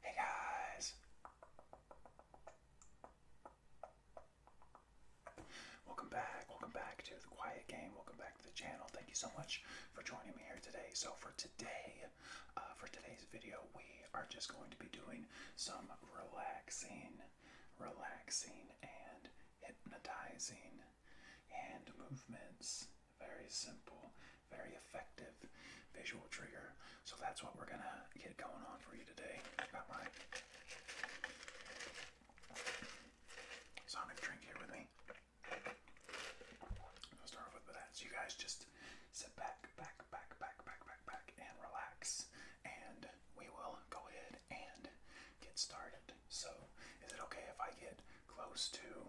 Hey guys! Welcome back, welcome back to The Quiet Game, welcome back to the channel. Thank you so much for joining me here today. So for today, uh, for today's video, we are just going to be doing some relaxing, relaxing and hypnotizing hand movements. Very simple, very effective visual trigger. So that's what we're gonna get going on for you today. Got my sonic drink here with me. I'll start off with that. So you guys just sit back, back, back, back, back, back, back, and relax. And we will go ahead and get started. So is it okay if I get close to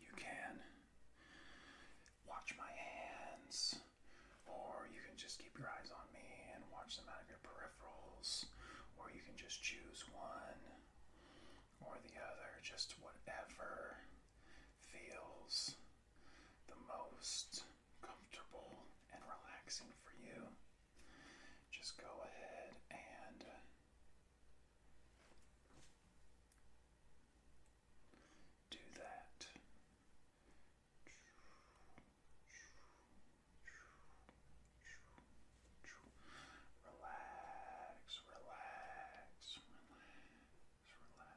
you can watch my hands, or you can just keep your eyes on me and watch them out of your peripherals, or you can just choose one or the other, just whatever feels the most comfortable and relaxing for you, just go ahead and uh, do that. Relax, relax, relax, relax.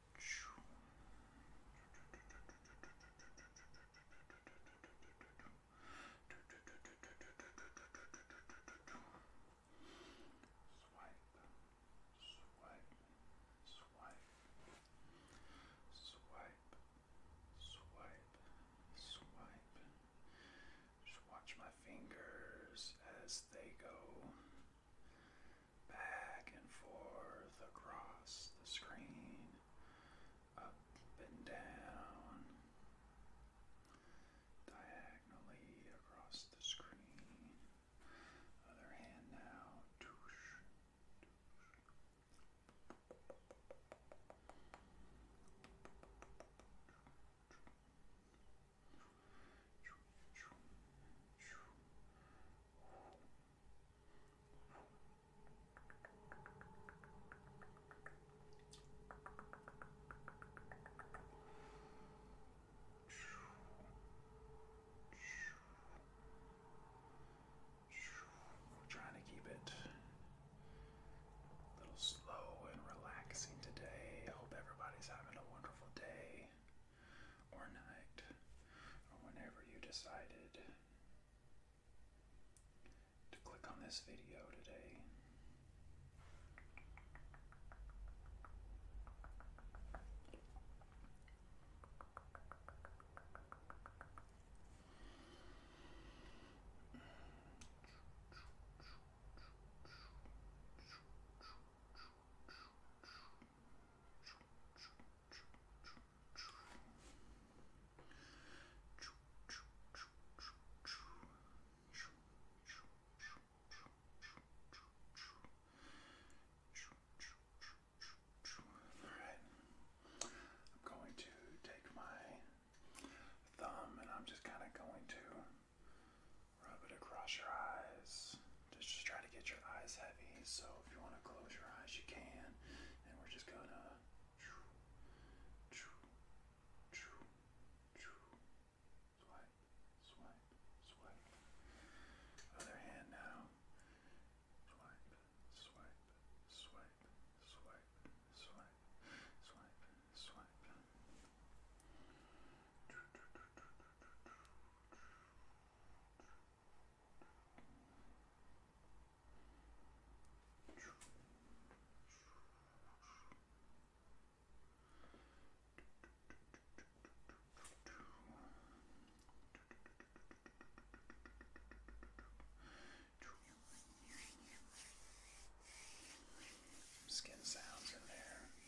swipe. Just watch my fingers as they go back and forth across the screen, up and down, diagonally across the screen. Other hand now. We're trying to keep it a little slow and relaxing today. I hope everybody's having a wonderful day or night or whenever you decided to click on this video today. Alright, I'm going to take my thumb and I'm just kind of going to rub it across your eyes. Just, try to get your eyes heavy. So if you want to close your eyes, you can. And we're just gonna. Swipe, swipe, swipe. Other hand now. Swipe, swipe, swipe, swipe, swipe, swipe, swipe. Skin sounds in there.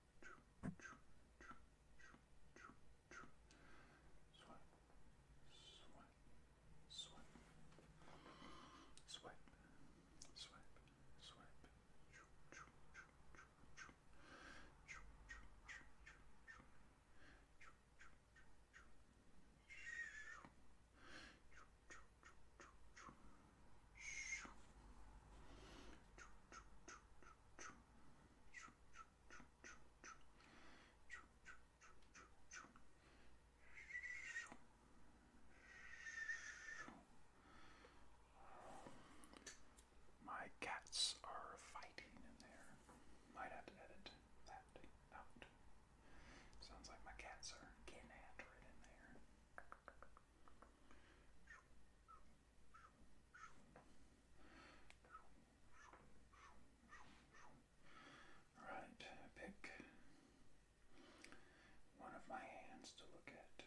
Sweat, sweat, sweat, sweat, sweat, sweat. Sweat, my cats are fighting in there. Might have to edit that out. Sounds like my cats are getting after it in there. Right, pick one of my hands to look at.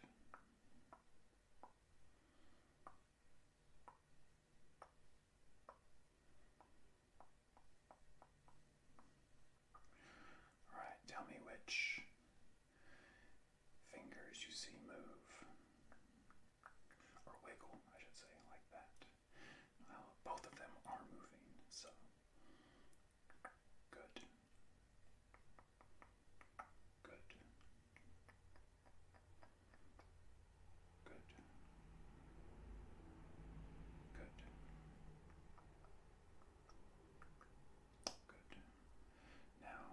All right, tell me which fingers you see move, or wiggle, I should say, like that. Well, both of them are moving, so good, good, good, good. Good. Now,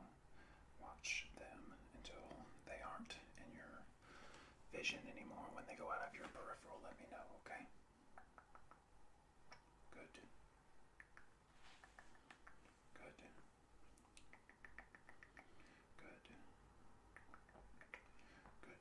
watch them until they aren't in your vision anymore. When they go out of your peripheral, let me know, okay? Good. Good. Good. Good.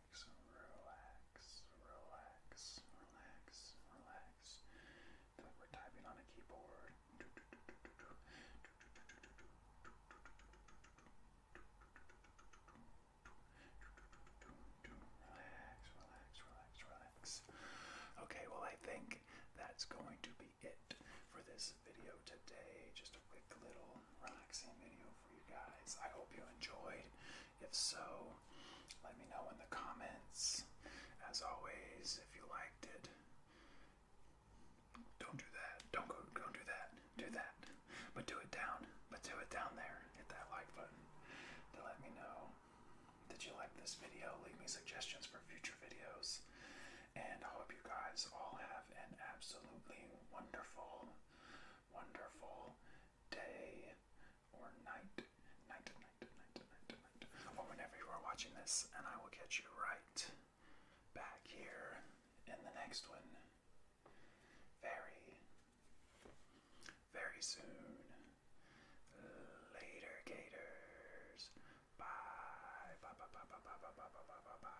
relax, relax, relax, relax, relax. we're typing on a keyboard. Relax, relax, relax, relax. Okay, well, I think that's going to be it for this video today. Just a quick little relaxing video for you guys. I hope you enjoyed. If so, let me know in the comments. As always, if you liked it, don't do that. Don't go. Don't do that. Do that. But do it down. But do it down there. Hit that like button to let me know. Did you like this video? Leave me suggestions for future videos. And I hope you guys all have an absolutely wonderful, wonderful day or night. Night, night, night, night, night. Or whenever you are watching this, and I will get you right back here in the next one. Very, very soon. Later, Gators. Bye. Bye, bye, bye, bye, bye, bye, bye, bye, bye, bye.